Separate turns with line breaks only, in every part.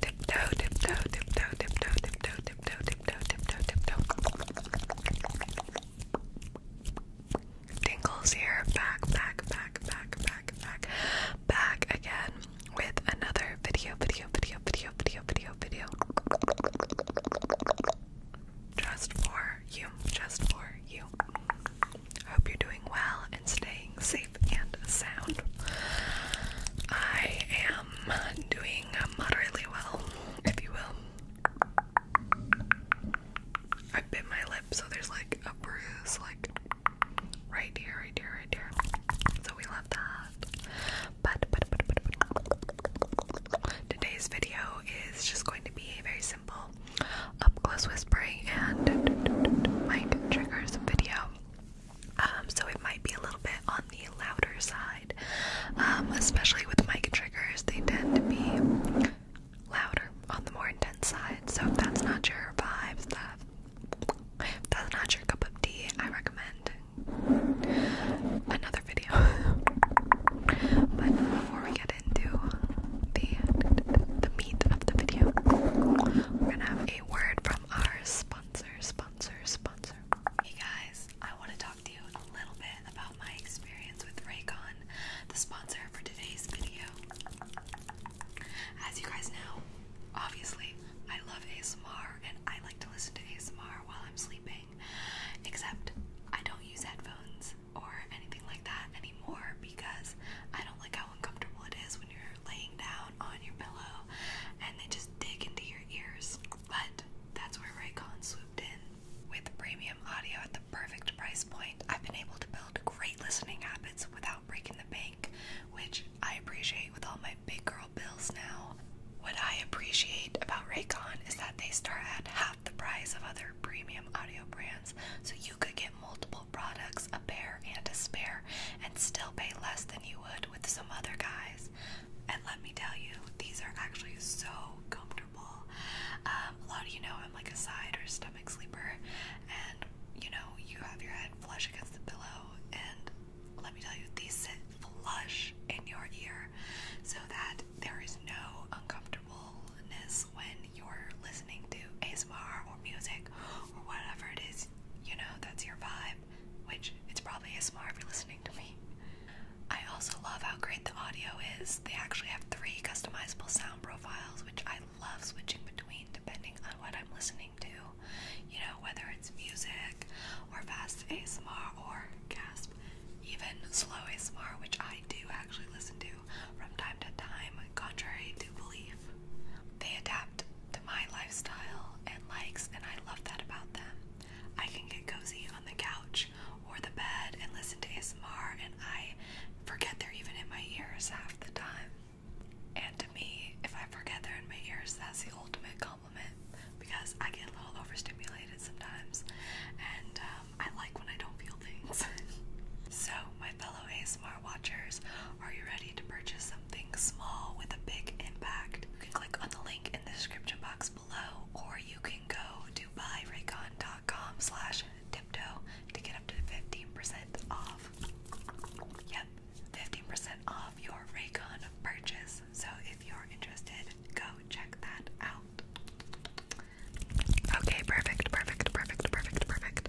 Tiptoe, tiptoe, tiptoe, tiptoe, tiptoe, tiptoe, tiptoe, tiptoe, tiptoe. Tingles here, back, back, back, back, back, back, back again with another video, video, video, video, video, video, video. Just for you, just for you. I hope you're doing well and staying safe and sound. I am doing moderately well, if you will. I bit my lip, so there's like a bruise, like right here, right here, right here. So we love that. But, today's video is just going to be very simple up close whispering and mic triggers video. Um, so it might be a little bit on the louder side, um, especially with mic triggers. They tend to be louder on the more intense side. So if that's not your vibe, that that's not your cup of tea, I recommend another video. but before we get into the the meat of the video, we're gonna have word from our sponsor, sponsor, sponsor. Hey guys, I want to talk to you a little bit about my experience with Raycon, the sponsor for today's video. As you guys know, obviously, I love ASMR and I like to listen to ASMR while I'm sleeping, except I don't use headphones or anything like that anymore because I don't like how uncomfortable it is when you're laying down on your pillow and they just dig into your ears. But that's where Raycon swooped in. With premium audio at the perfect price point, I've been able to build great listening habits without breaking the bank, which I appreciate with all my big girl bills now. What I appreciate about Raycon is that they start at half the price of other premium audio brands, so you could get multiple products, a pair and a spare, and still pay less than you would with some other guys. And let me tell you, these are actually so comfortable. Um, a lot of you know I'm like a side or stomach sleeper, and you know, you have your head flush against the pillow, and let me tell you, these sit flush in your ear so that there is no uncomfortableness when you're listening to ASMR or music or whatever it is, you know, that's your vibe, which it's probably ASMR if you're listening to me. I also love how great the audio is. They actually have three customizable sound profiles, which I love switching between depending on what I'm listening to. You know, whether it's music or fast ASMR or even slow ASMR, which I do actually listen to from time to time, contrary to belief. They adapt to my lifestyle and likes, and I love that about them. I can get cozy on the couch or the bed and listen to ASMR, and I forget they're even in my ears half the time. And to me, if I forget they're in my ears, that's the ultimate compliment because I get a little overstimulated sometimes, and um, I like when I don't feel things. so, my fellow ASMR watchers, are you ready to purchase something small with a big impact? You can click on the link in the description box below, or you can go to buyraycon.com slash tiptoe to get up to 15% off. Yep, 15% off your Raycon purchase. So if you're interested, go check that out. Okay, perfect, perfect, perfect, perfect, perfect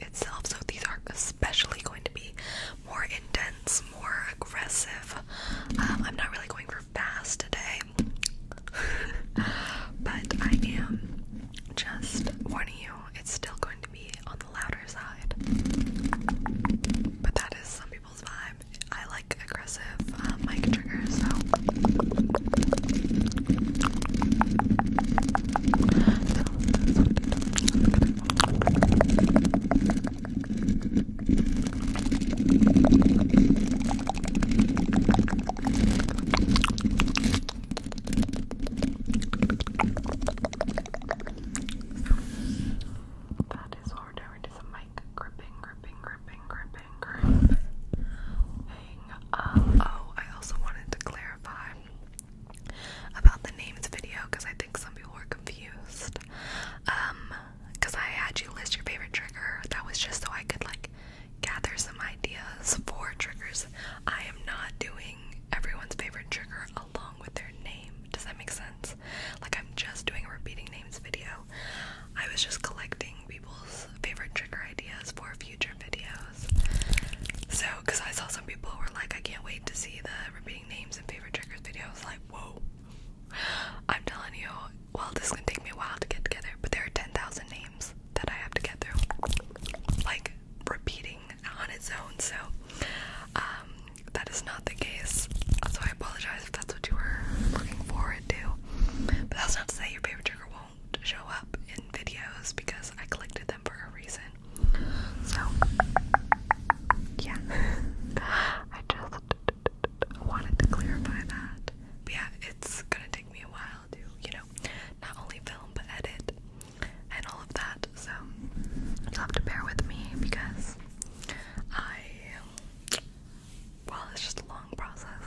itself, so these are especially going to be more intense, more aggressive. Um, I'm not really going for fast today, but I am just warning you, it's still going to be on the louder side. But that is some people's vibe. I like aggressive uh, mic triggers, so that is what we a mic gripping, gripping, gripping, gripping, gripping. oh, I also wanted to clarify about the names video because I think some people were confused. because um, I had you list your favorite trigger. That was just so I could like gather some ideas for triggers. I am not doing everyone's favorite trigger along with their name. Does that make sense? Like I'm just doing a repeating names video. I was just collecting people's favorite trigger ideas for future videos. So, because I saw some people were like, I can't wait to see the repeating names and favorite triggers video. like, whoa. I'm telling you, well, this is gonna take me a while to get together, but there are 10,000 names that I have to get through. Like, repeating on its own, so um, that is not the case. So I apologize if that's what you were looking forward to. But that's not to say your favorite trigger won't show up in videos because I collected them for a reason. So, yeah, I just wanted to clarify that. yeah, it's gonna take me a while to, you know, not only film but edit and all of that. So, have to bear with me because I, well, it's just a long process.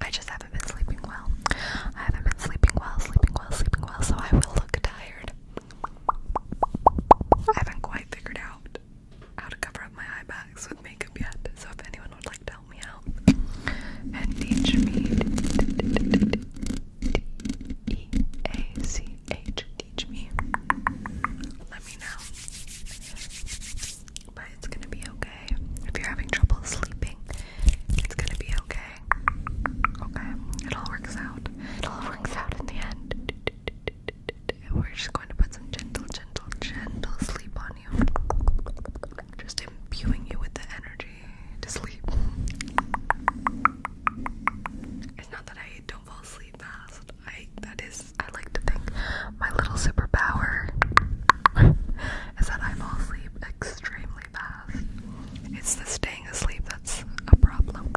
I just haven't been sleeping well. I haven't been sleeping well, sleeping well, sleeping well, so I will look tired. I haven't quite figured out how to cover up my eye bags with makeup yet, so if anyone would like to help me out and teach me D A C H teach me, let me know but it's gonna be okay. If you're having trouble sleeping, it's gonna be okay. Okay, it all works out. It all works out in the end. We're just going to put some gentle, gentle, gentle sleep on you. Just imbuing you with the energy to sleep. It's not that I don't fall asleep fast. I that is I like to think my little superpower is that I fall asleep extremely fast. It's the staying asleep that's a problem.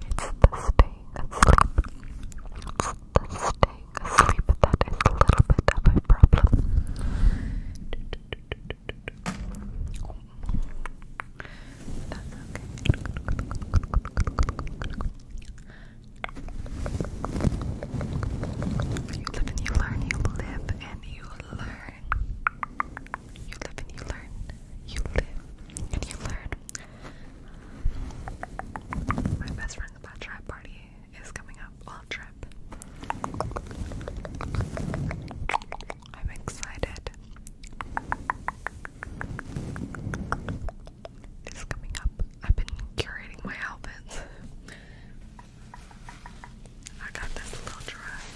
It's the staying asleep. It's the staying asleep that is a little bit of a problem. You live and you learn, you live and you learn. You live and you learn, you live and you learn. My best friend's bad trap party is coming up all trip. I'm excited is coming up. I've been curating my outfits. I got this little dress.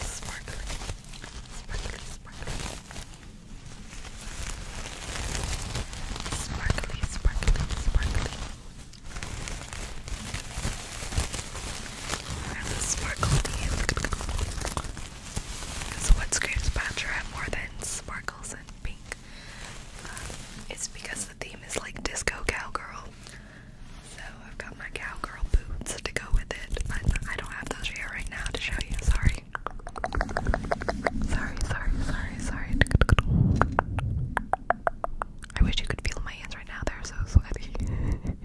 It's sparkly, sparkly, sparkly, sparkly, sparkly, sparkly. And the sparkle to so what screams Bachelorette more than sparkles and pink? Um, it's because the theme is like disco cowgirl. So I've got my cowgirl boots to go with it, but I don't have those here right now to show you. Sorry. Sorry, sorry, sorry, sorry. I wish you could feel my hands right now. They're so sweaty.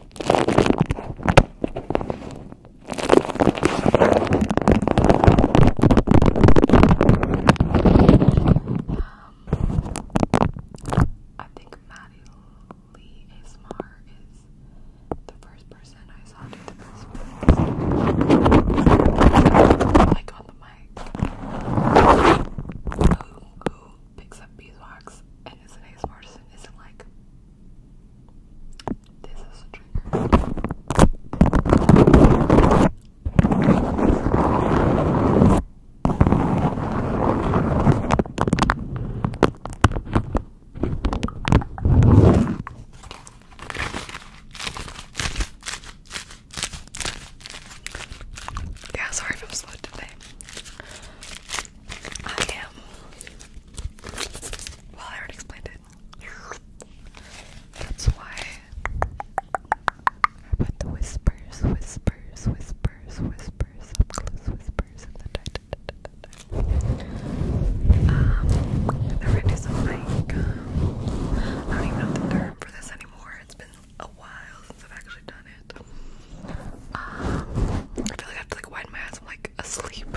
I think Maddie Lee ASMR is the first person I saw do the best Like on the mic picks up beeswax and is an ace partisan isn't like this is a trigger. Yeah, sorry if I'm slow today. I am. Well, I already explained it. That's why I put the whispers, whispers, whispers, whispers, up whispers in the title. Um, the red is like, um, I don't even know the term for this anymore. It's been a while since I've actually done um, I feel like I have to like widen my eyes. I'm like asleep.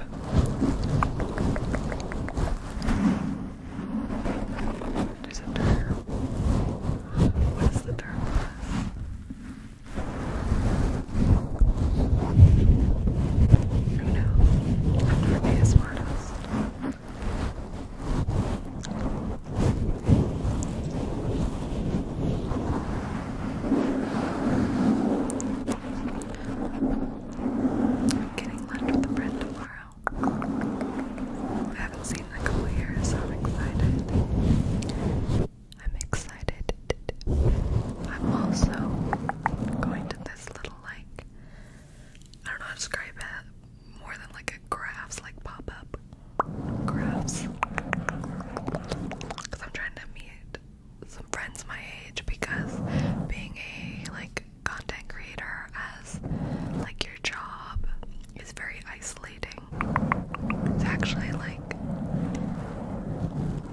There's a term. What is the Who knows? I'm not being a smartest. I'm getting lunch with a friend tomorrow. I haven't seen in a couple years, so I'm excited. I'm excited. I'm also going to this little like I don't know how to describe it more than like a crafts like pop up crafts because I'm trying to meet some friends my age because being a like content creator as like your job is very isolating. It's actually like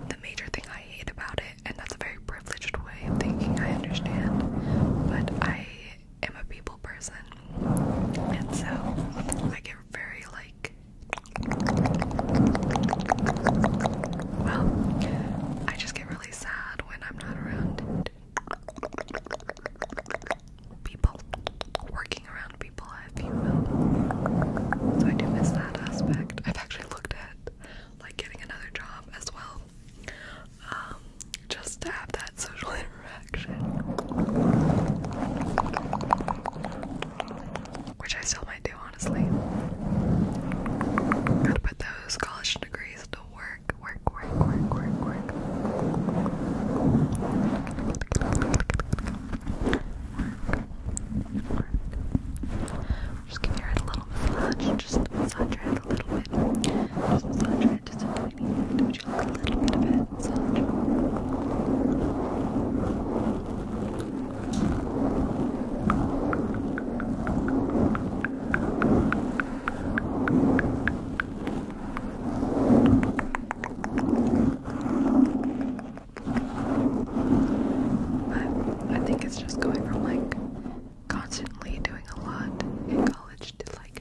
the major thing I hate about it, and that's a very privileged way of thinking, I understand. But I am a people person, and so I get very like well, I just get really sad when I'm not around people, working around people, if you So I do miss that aspect. I've actually looked at like getting another job as well, um, just to have that social interaction which I still might do, honestly. got those college degrees to work, work, work, work, work, work. Just give your head a little massage, just massage your head a little bit. massage your head just a tiny bit, would you like a little bit of it? sounds. I think it's just going from like constantly doing a lot in college to like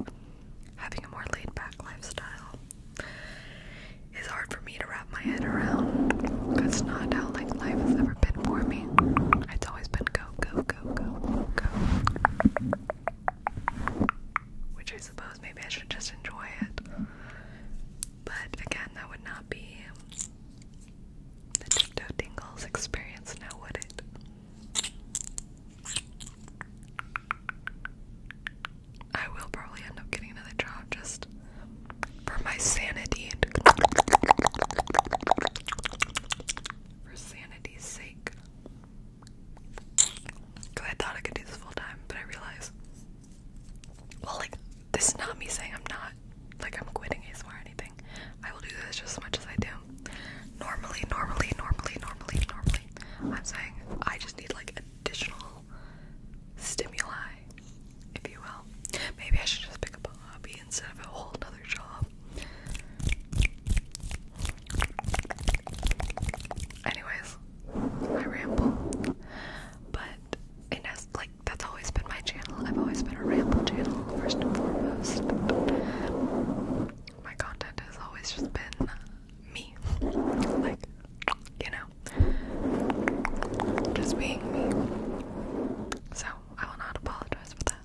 having a more laid back lifestyle. It's hard for me to wrap my head around. That's not how like life has ever been for me. It's always been go, go, go, go, go. Which I suppose maybe I should just enjoy it. But again, that would not be the Tiptoe Tingles experience now, would it? I will probably end up getting another job just for my sanity for sanity's sake. Because I thought I could do this full time, but I realize. well, like, this is not me saying I'm not, like, I'm quitting ASMR or anything. I will do this just as much as I do. Normally, normally, normally, normally, normally. I'm saying I just need, like, additional stimuli, if you will. Maybe I should just pick up a hobby instead of a whole other job. Anyways, I ramble. But it has like that's always been my channel. I've always been a ramble channel first and foremost. My content has always just been me. Like, you know, just being me. So, I will not apologize for that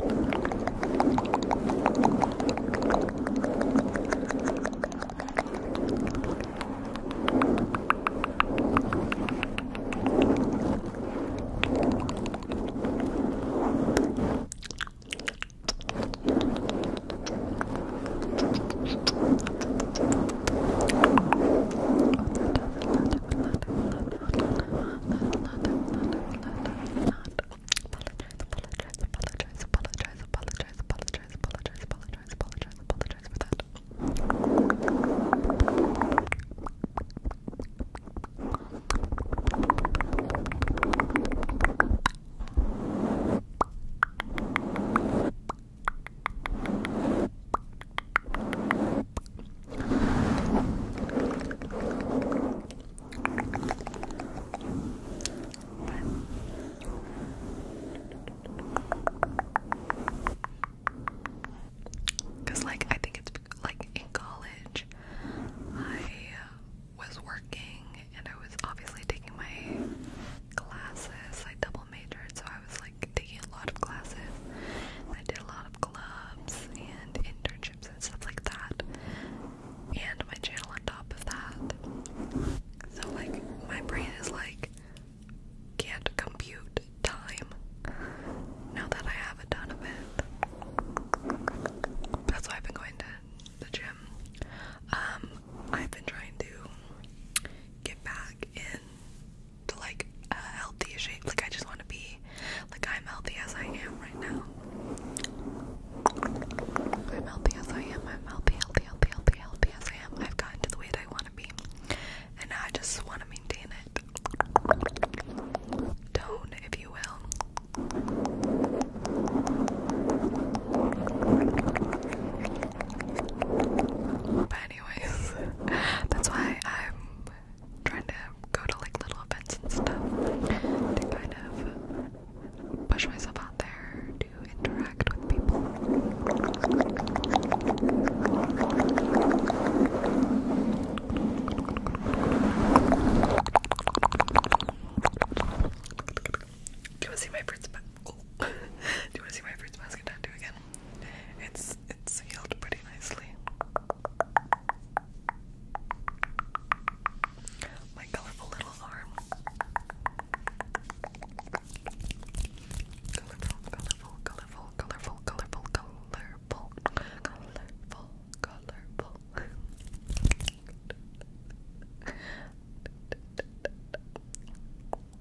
apologize for that. Thank you, because, like, I think it's like in college, I was working and I was obviously taking my classes. I double majored, so I was like taking a lot of classes. I did a lot of clubs and internships and stuff like that, and my channel on top of that. So, like, my brain is like, can't compute time now that I have a ton of it. That's why I've been going to the gym. Um, I've been trying to get back in like a healthy shape. Like I just want to be like I'm healthy as I am right now. I'm healthy as I am. I'm healthy, healthy, healthy, healthy, healthy as I am. I've gotten to the weight I want to be, and I just want to maintain it. Tone, if you will. But anyways, that's why I'm trying to go to like little events and stuff to kind of push myself out there to interact with people. Do you want to see my fruits basket? Do you want to see my fruits basket tattoo again? It's it's healed pretty nicely. My colorful little arm. Colorful, colorful, colorful, colorful, colorful, colorful, colorful, colorful.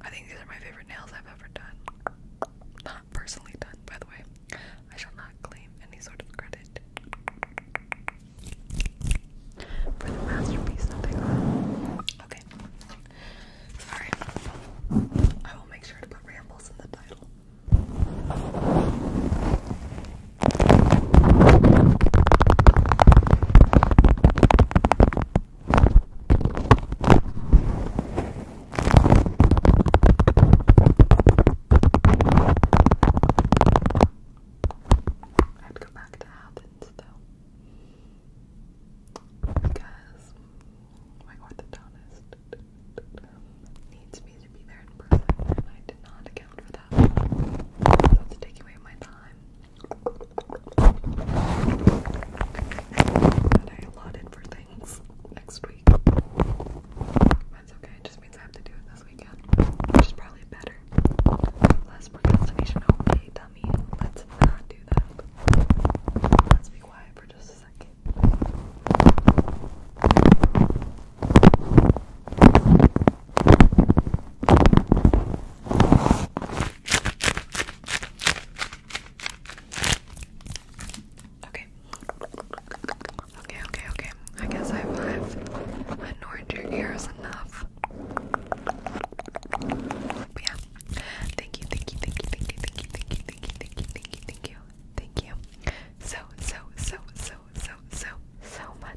I think these are my favorite nails I've ever done. Not personally done, by the way. I shall not claim any sort of credit for the masterpiece Okay. Sorry. I will make sure to put rambles in the title. I'd go back to Athens though. Because my orthodontist needs me to be there in person I did not account for that. So taking away my time that I allotted for things next week. That's okay, it just means I have to do it this weekend, which is probably better. Less procrastination. Okay, dummy, let's not do that. Let's be quiet for just a second. Okay. Okay, okay, okay. I guess I've, I've annoyed your ears enough. yeah. Thank you, thank you, thank you, thank you, thank you, thank you, thank you, thank you, thank you, thank you, thank you. So, so, so, so, so, so, so much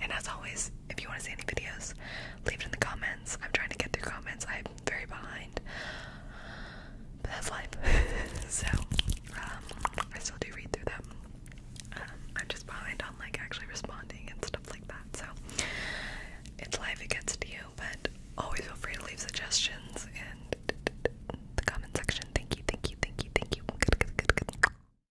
And as always, if you want to see any videos, leave it in the comments. I'm trying to get through comments. I'm very behind. But that's life. so, um, I still do read through them. Um, I'm just behind on like actually responding and stuff like that. So, it's life, against you, but always feel free to leave suggestions in the comment section. Thank you, thank you, thank you, thank you. Good, good, good, good.